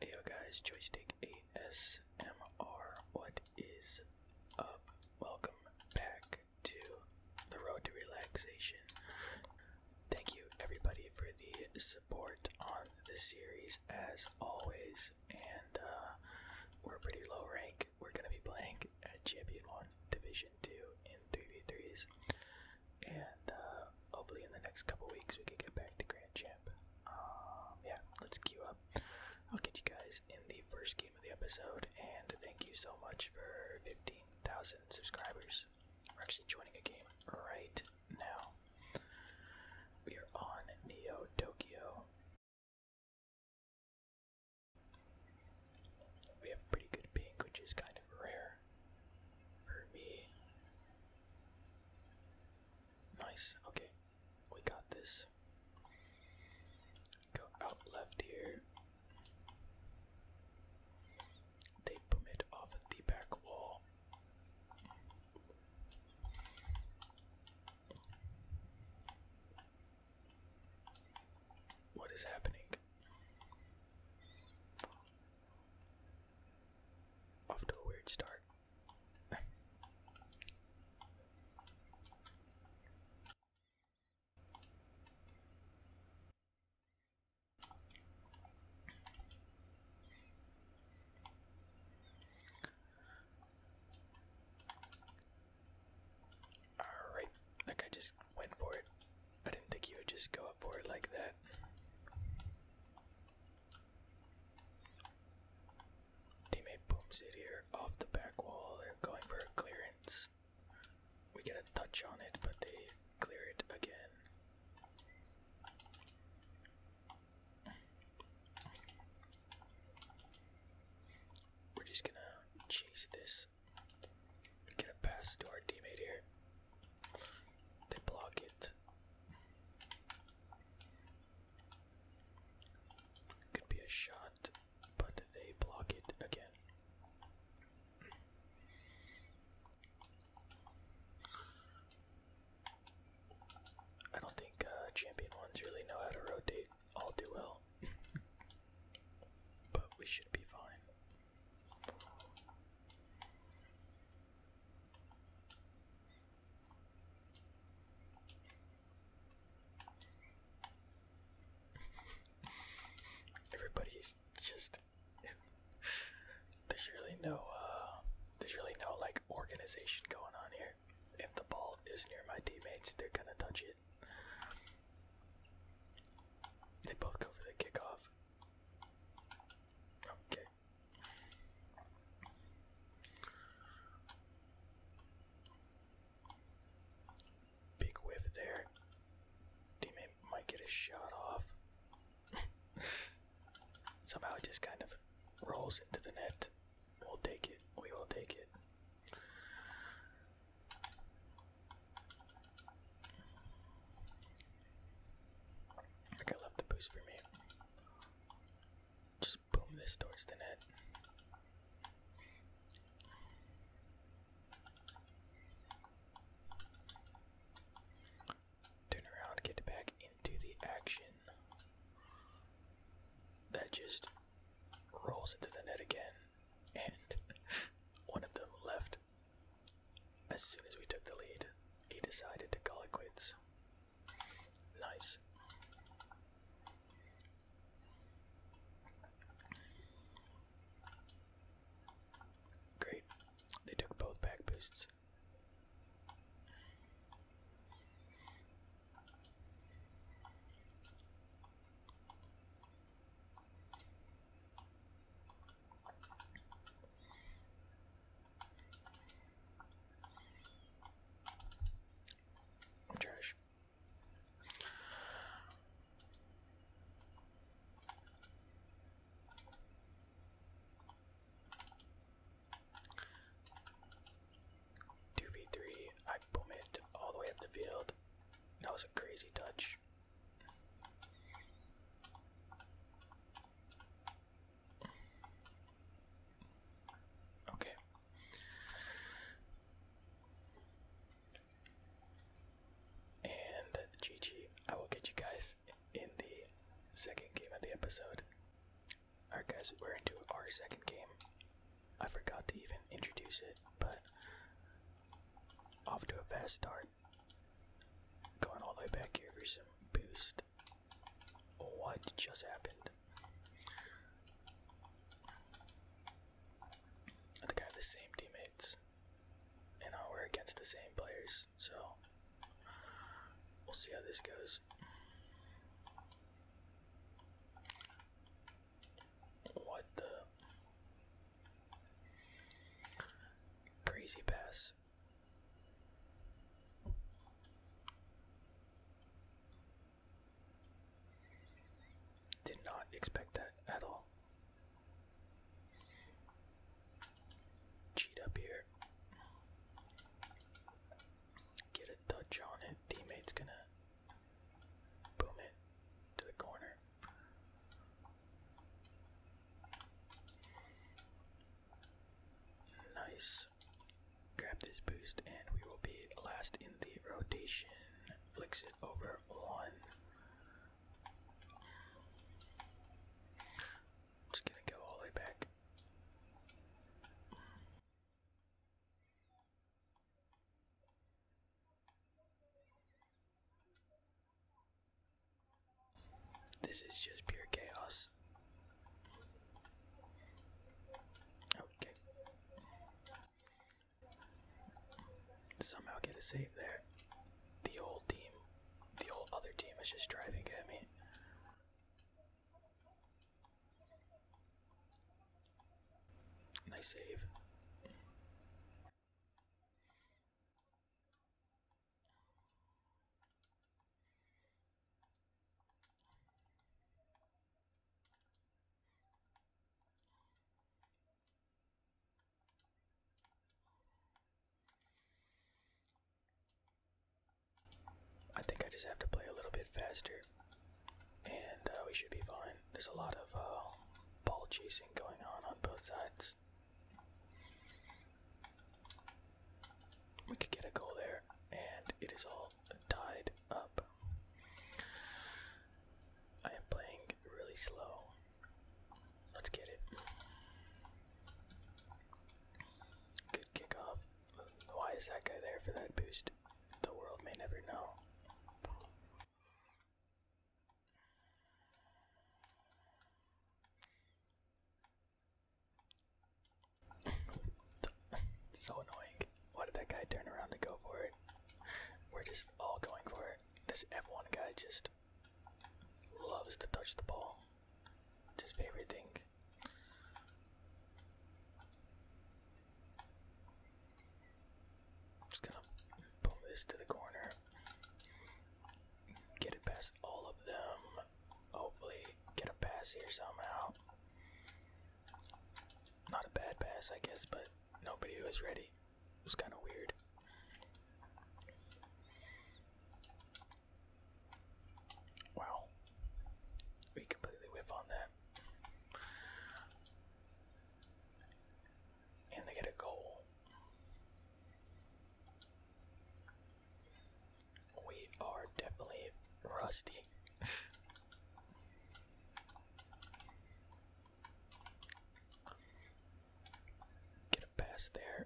Hey guys, Joystick ASMR, what is up? Welcome back to the road to relaxation. Thank you everybody for the support on the series as always and uh, we're pretty low rank. We're gonna be playing at Champion One, Division Two, in three v threes, and uh, hopefully in the next couple weeks we can get back to Grand Champ. Um, yeah, let's queue up. I'll get you guys in the first game of the episode, and thank you so much for 15,000 subscribers. We're actually joining a game right now. We are on Neo Tokyo. We have pretty good pink, which is kind of rare for me. Nice, okay, we got this. Go out left here. They boom off the back wall. What is happening? Off to a weird start. Alright, that guy just went for it. I didn't think he would just go up for it like that. Teammate booms it here off the back wall. they going for a clearance. We get a touch on it, but they clear it again. We're just gonna chase this. Get a pass to our teammate here. They block it. Could be a shot, but they block it again. I don't think uh, champion ones really know how to rotate all too well, but we should be fine. Everybody's just there's really no uh, there's really no like organization going on here. If the ball is near my teammates, they're gonna touch it. They both go for the kickoff. Okay. Big whiff there. Teammate might get a shot off. Somehow it just kind of rolls into the net. We'll take it. We will take it. Like I love the boost for me. Just boom this towards the net. Turn around, get back into the action. That just rolls into the net again, and one of them left. As soon as we took the lead, he decided to call it quits. Nice. Great. They took both back boosts. I'm trash. 2v3, I boom it all the way up the field. That was a crazy touch. Okay. And GG, I will get you guys in the second game of the episode. Alright, guys, we're into our second game. I forgot to even introduce it, but off to a fast start. Going all the way back here for some boost. What just happened? I think I have the same teammates. And you we're against the same players so we'll see how this goes. What the crazy pass? Did not expect that at all. Cheat up here. Get a touch on it. Teammate's gonna boom it to the corner. Nice. Grab this boost, and we will be last in the rotation. Flicks it over one. Just gonna go all the way back. This is just pure chaos. Okay. Somehow get a save there. The old team, the old other team is just driving at me. Nice save. I think I just have to play a little bit faster, and uh, we should be fine. There's a lot of uh, ball chasing going on on both sides. We could get a goal there, and it is all tied up. I am playing really slow. Let's get it. Good kickoff. Why is that guy there for that boost? The world may never know. so annoying. Why did that guy turn around to go for it? We're just all going for it. This F1 guy just Loves to touch the ball. It's his favorite thing. Just gonna boom this to the corner. Get it past all of them. Hopefully, get a pass here somehow. Not a bad pass, I guess, but nobody was ready. It was kind of weird. Wow. We completely whiff on that. And they get a goal. We are definitely rusty. Get a pass there.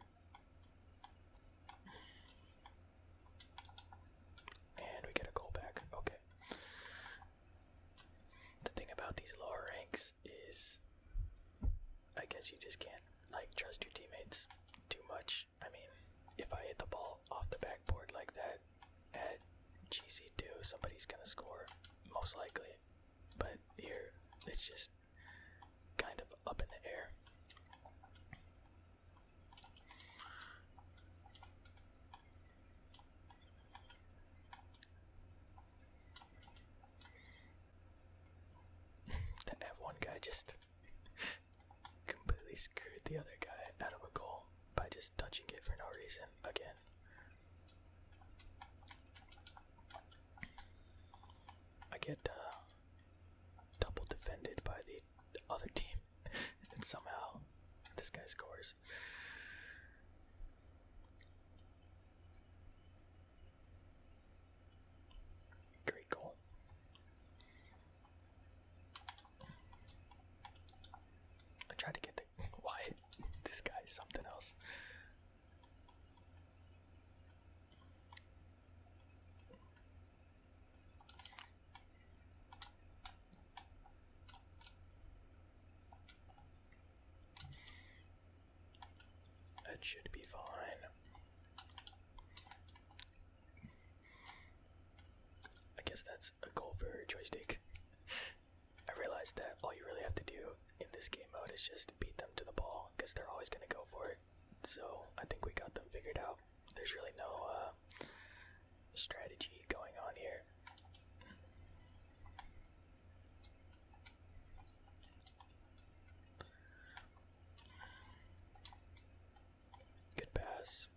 And we get a goal back. Okay. The thing about these lower ranks is I guess you just can't like trust your teammates too much. I mean, if I hit the ball off the backboard like that at GC2, somebody's gonna score most likely. But here, it's just kind of up in the air. that one guy just completely screwed the other guy out of a goal by just touching it for no reason again. I get uh, double defended by the other team, and somehow this guy scores. Great goal. I tried to get the why this guy's something else. That should be fine. I guess that's a goal for joystick. I realized that all you really have to do in this game mode is just beat them to the ball because they're always going to go for it. So I think we got them figured out. There's really no uh, strategy going on here. Good pass.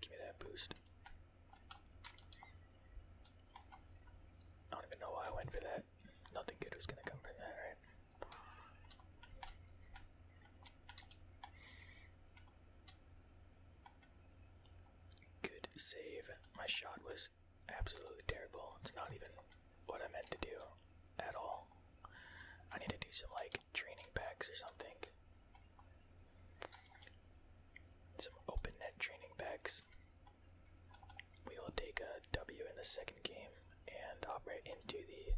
Give me that boost. I don't even know why I went for that. Nothing good was gonna come from that, right? Good save. My shot was absolutely terrible. It's not even what I meant to do at all. I need to do some like training packs or something. Some open net training packs. We will take a W in the second game and hop right into the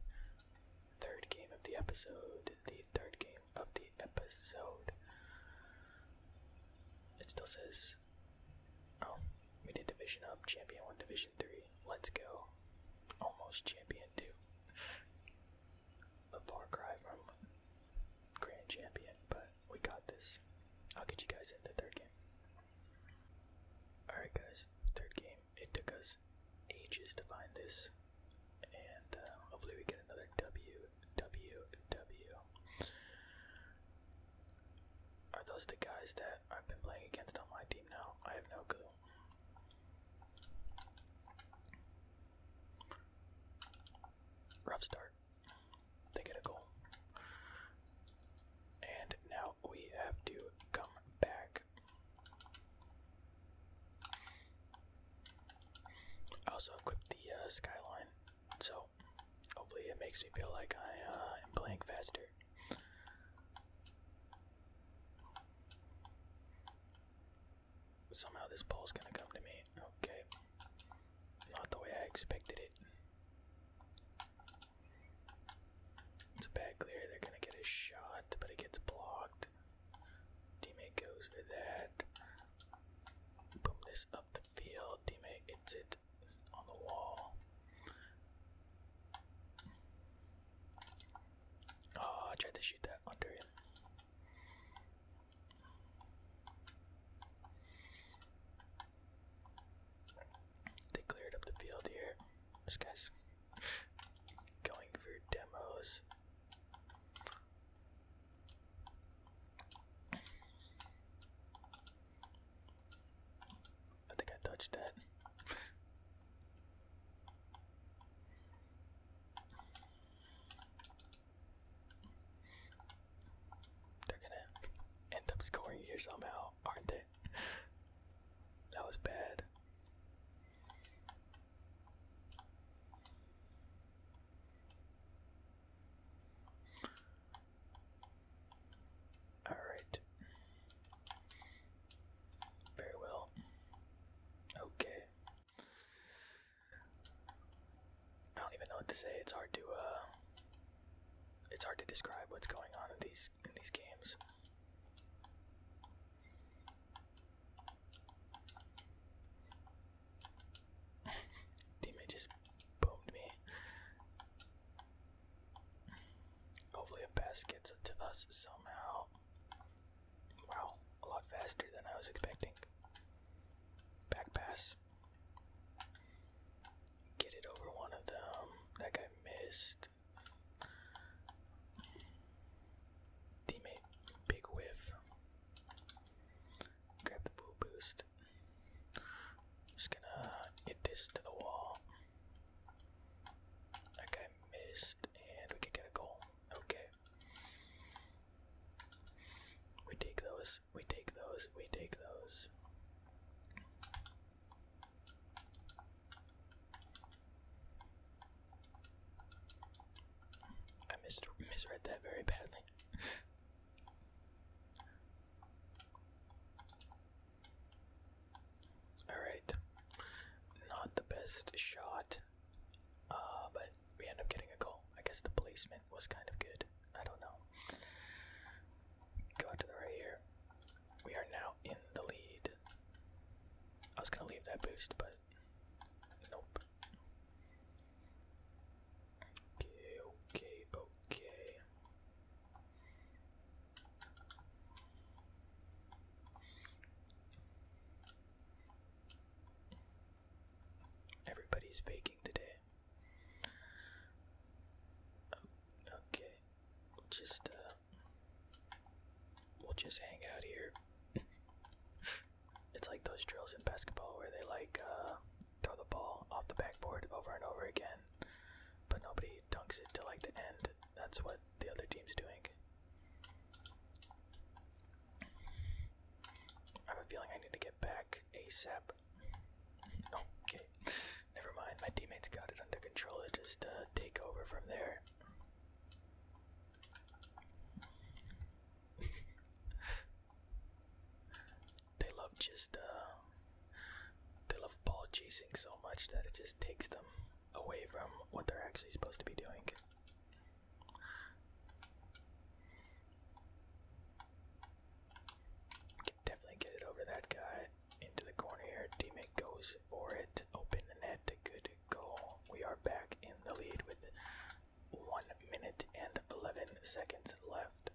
third game of the episode. The third game of the episode. It still says, oh, we did Division Up, Champion 1, Division 3. Let's go. Almost Champion 2 a far cry from Grand Champion, but we got this. I'll get you guys into third game. Alright guys, third game. It took us ages to find this. And uh, hopefully we get another W, W, W. Are those the guys that I've been playing against on my team now? I have no clue. Rough start. They get a goal. And now we have to come back. I also equipped the uh, skyline, so hopefully it makes me feel like I uh, am playing faster. Somehow this ball's gonna come to me. Okay. Not the way I expected it. It's a bad clear. They're gonna get a shot, but it gets blocked. Teammate goes for that. Boom this up the field. Teammate hits it on the wall. Oh, I tried to shoot that under him. They cleared up the field here. This guy's going for demos. I think I touched that. They're gonna end up scoring here somehow, aren't they? That was bad. All right. Very well. Okay. I don't even know what to say. It's hard to uh, it's hard to describe what's going on in these in these games. Teammate just boomed me. Hopefully, a pass gets to us somehow. Wow, a lot faster than I was expecting. Back pass. Get it over one of them. That guy missed. Teammate, big whiff. Grab the full boost. Just gonna hit this to the wall. That guy missed, and we could get a goal. Okay. We take those, we take those, we take those. I misread that very badly. Alright. Not the best shot uh, but we end up getting a goal. I guess the placement was kind of good. I don't know. Go out to the right here. We are now in the lead. I was gonna leave that boost, but nope. Okay, okay, okay. Everybody's faking today. Okay, just uh, we'll just hang out here. it's like those drills in basketball where they like uh, throw the ball off the backboard over and over again, but nobody dunks it till like the end that's what the other team's doing. I have a feeling I need to get back ASAP. Oh, okay, never mind. My teammates got it under control. just uh, take over from there. they love just uh, they love ball chasing so much that it just takes them away from what they're actually supposed to be doing definitely get it over that guy into the corner here. Teammate goes for it. Open the net. Good goal. We are back in the lead with one minute and 11 seconds left.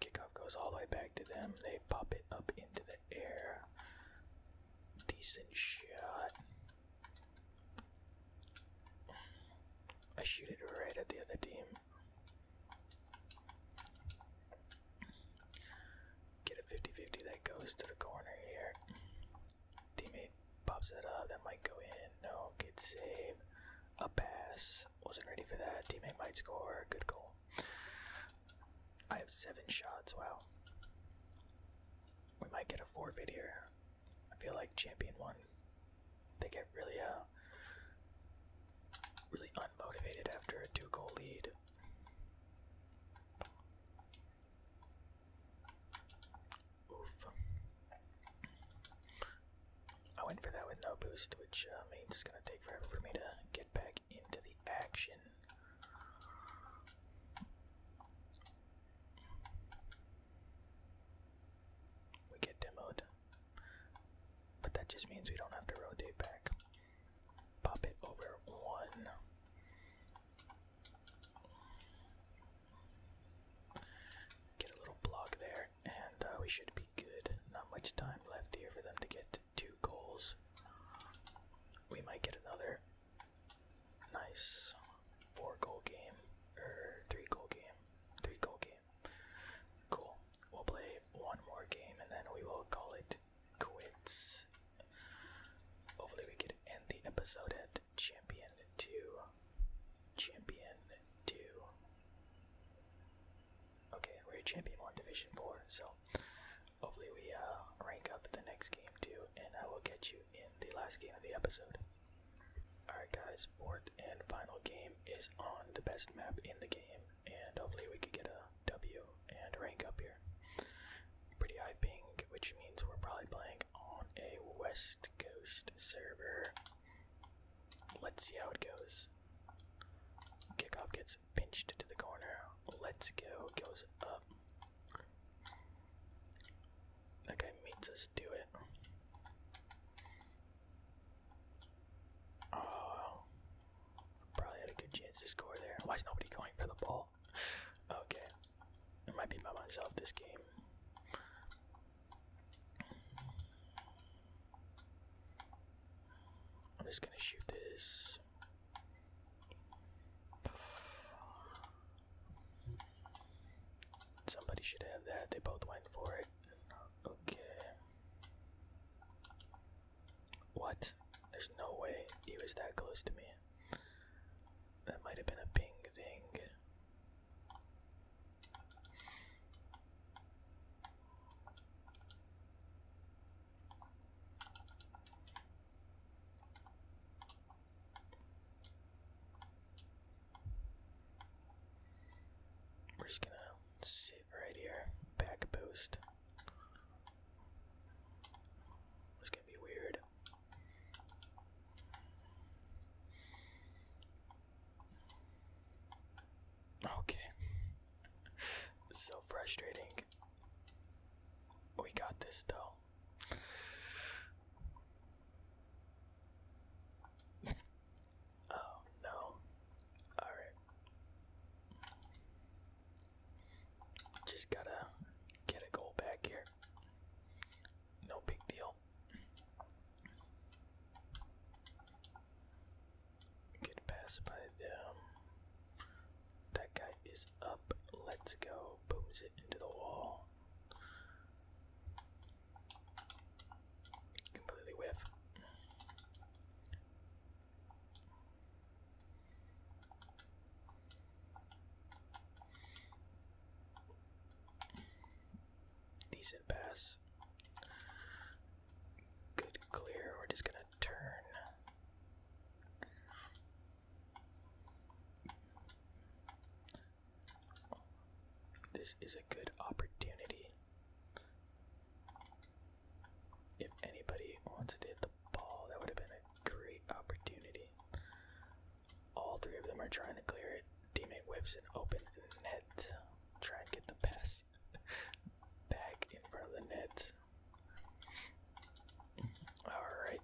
Kickoff goes all the way back to them. They pop it up into the air. Decent shot. I shoot it right at the other team. Get a 50 50 that goes to the corner here. Teammate pops that up. That might go in. No, good save. A pass. Wasn't ready for that. Teammate might score. Good goal. I have seven shots. Wow. We might get a 4 here. I feel like champion one. They get really uh really unmotivated after a two goal lead. Oof. I went for that with no boost, which uh, means it's gonna take forever for me to get back into the action. We get demoed. But that just means we don't have to rotate back. Pop it over one. Get a little block there, and uh, we should be good. Not much time left here for them to get two goals. We might get another nice four goal game or three goal game. Three goal game. Cool. We'll play one more game and then we will call it quits. Hopefully, we can end the episode at Champion 2. Champion 2. Okay, we're a champion on division four, so hopefully we uh, rank up the next game too, and I will get you in the last game of the episode. Alright guys, fourth and final game is on the best map in the game, and hopefully we can get a W and rank up here. Pretty high ping, which means we're probably playing on a West Coast server. Let's see how it goes. Kickoff gets pinched to the corner. Let's go goes up. That guy makes us do it. Oh, probably had a good chance to score there. Why is nobody going for the ball? Okay, I might be by myself this game. I'm just gonna shoot this. Somebody should have that. They both went for it. Okay. What? There's no way he was that close to me. That might have been a ping thing. We're just gonna sit right here, back post. It's gonna be weird. Okay. so frustrating. We got this though. oh no. Alright. Just gotta get a goal back here. No big deal. Get passed by them. That guy is up. Let's go. Booms it into the wall. Completely whiff. Decent pass. Good clear, we're just gonna turn. This is a good opportunity. If anybody wanted to hit the ball, that would have been a great opportunity. All three of them are trying to clear it. Teammate whips an open Ned, Try and get the pass back in front of the net. All right.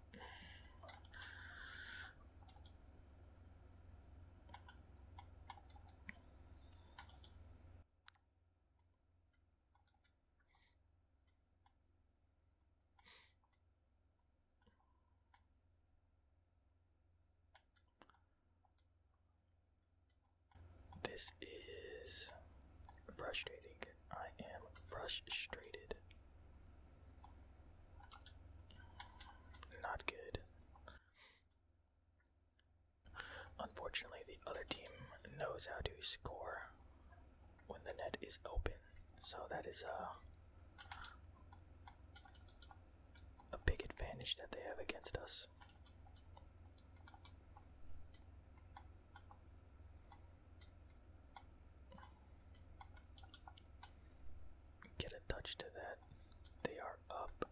This is frustrating. I am frustrated. Not good. Unfortunately, the other team knows how to score when the net is open, so that is a, uh, a big advantage that they have against us. Get a touch to that. They are up.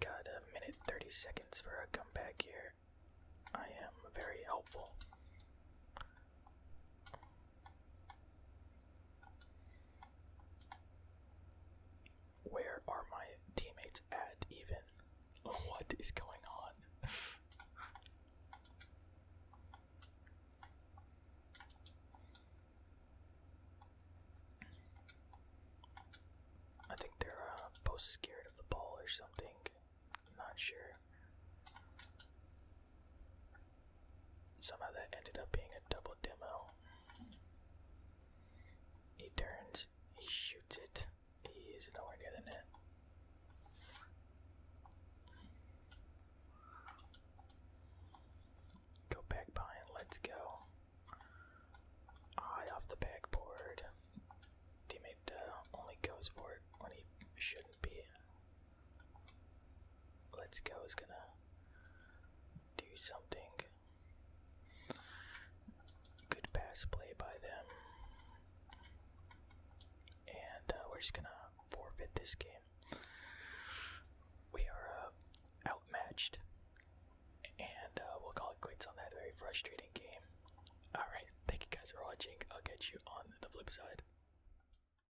Got a minute 30 seconds for a comeback here. I am very helpful. Where are my teammates at even? What is going on? I think they're uh, both scared of the ball or something. I'm not sure. Somehow that ended up being a double demo. He turns, he shoots it, He's nowhere near the net. Go back behind, let's go. High off the backboard. Teammate uh, only goes for it when he should Let's go is gonna do something. Good pass play by them. And uh, we're just gonna forfeit this game. We are uh, outmatched. And uh, we'll call it quits on that very frustrating game. Alright, thank you guys for watching. I'll catch you on the flip side.